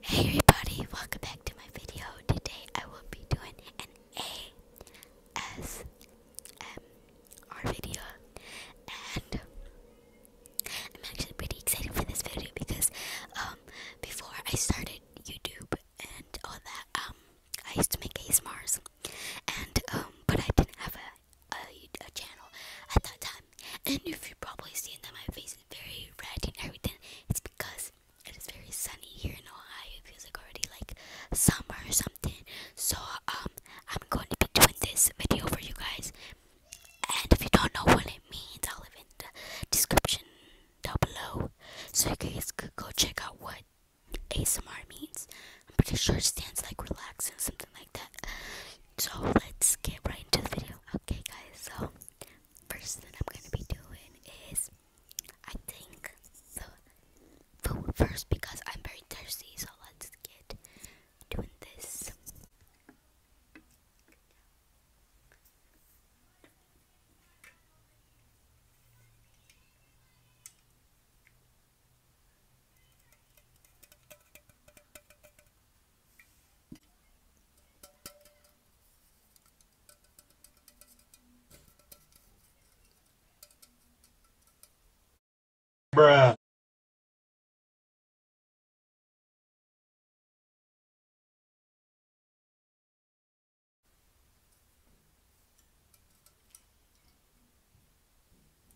Hey everybody, welcome back to my video. Today I will be doing an ASMR video and I'm actually pretty excited for this video because um, before I started YouTube and all that um I used to make ASMRs and um but I didn't have a, a channel at that time and if you've probably seen that my face is very red and everything, it's because it is very sunny here in Ohio. It feels like already like summer or something. So um, I'm going to be doing this video for you guys. And if you don't know what it means, I'll leave it in the description down below, so you guys could go check out what ASMR means. I'm pretty sure it stands like relax and something like that. So let's get right into the video. Okay, guys. So first thing I'm gonna be doing is I think the food first because I'm very thirsty. So let's get doing this. Bruh.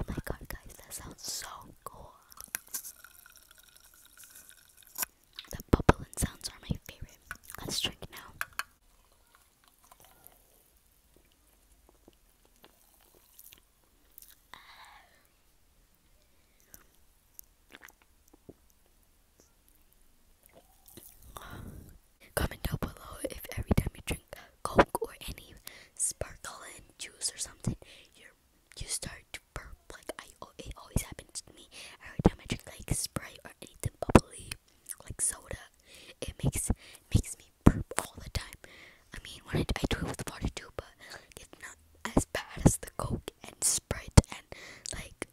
Oh my god, guys, that sounds so cool. The bubbling sounds are my favorite. Let's drink now. Comment down below if every time you drink Coke or any sparkling juice or something, you you start to burp. Like I, oh, it always happens to me every time I drink like Sprite or anything bubbly, like soda. It makes makes me burp all the time. I mean, when I, I do it with water too, but it's not as bad as the Coke and Sprite and like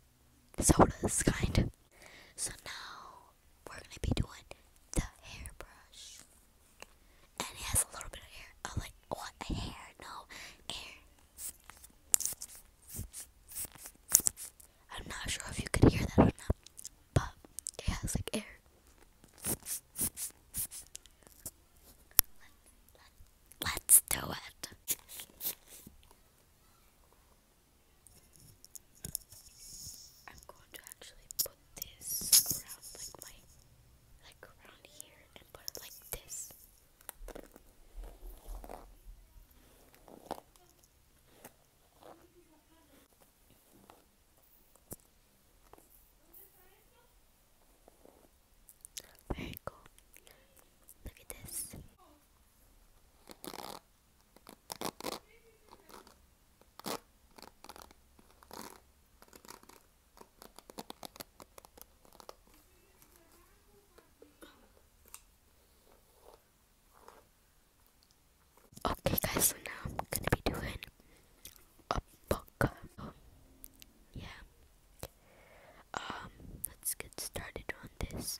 sodas kind. So now we're gonna be doing the hairbrush. And it has a little bit of hair. I like what oh, a hair? No hair. I'm not sure if you could hear that or not, but it has like air. let's do it. I'm going to actually put this around like my like around here and put it like this. Very cool. Look at this. Okay guys, so now I'm gonna be doing a book. yeah. Um, let's get started on this.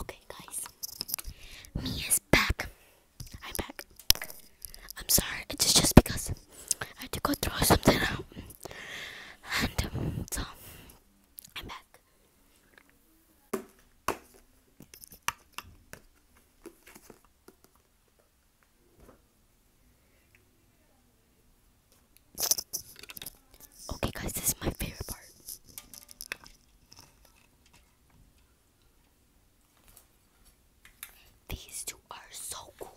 Okay, guys, me is back. I'm back. I'm sorry, it's just because I had to go throw something out, and um, so I'm back. Okay, guys, this is my favorite part. These two are so cool.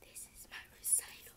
This is my recital.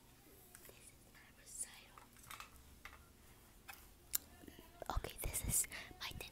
This is my recital. Okay, this is my okay.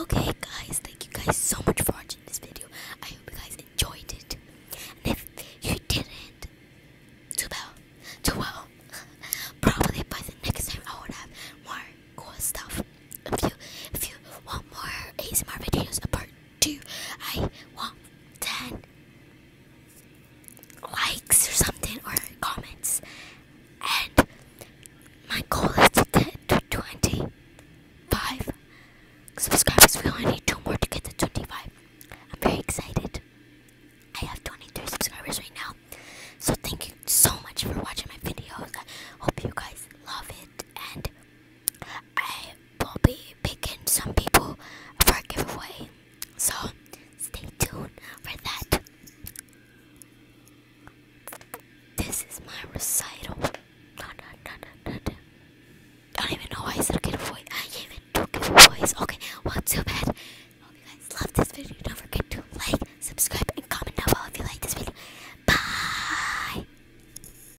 Okay guys, thank you guys so much for watching this video. I hope you guys enjoyed it. And if you didn't, too bad. too well. Probably by the next time I would have more cool stuff. If you if you want more ASMR videos apart do I want 10 likes or something or comments and my goal is to get to 25 subscribers we only need two more to get to 25 I'm very excited I have 23 subscribers right now so thank you so much for watching my videos I hope you guys love it and I will be picking some people for a giveaway. So stay tuned for that. This is my recital. I don't even know why I said giveaway. I even do giveaways. Okay, well, too bad. Hope guys love this video. Don't forget to like, subscribe, and comment down below if you like this video. Bye.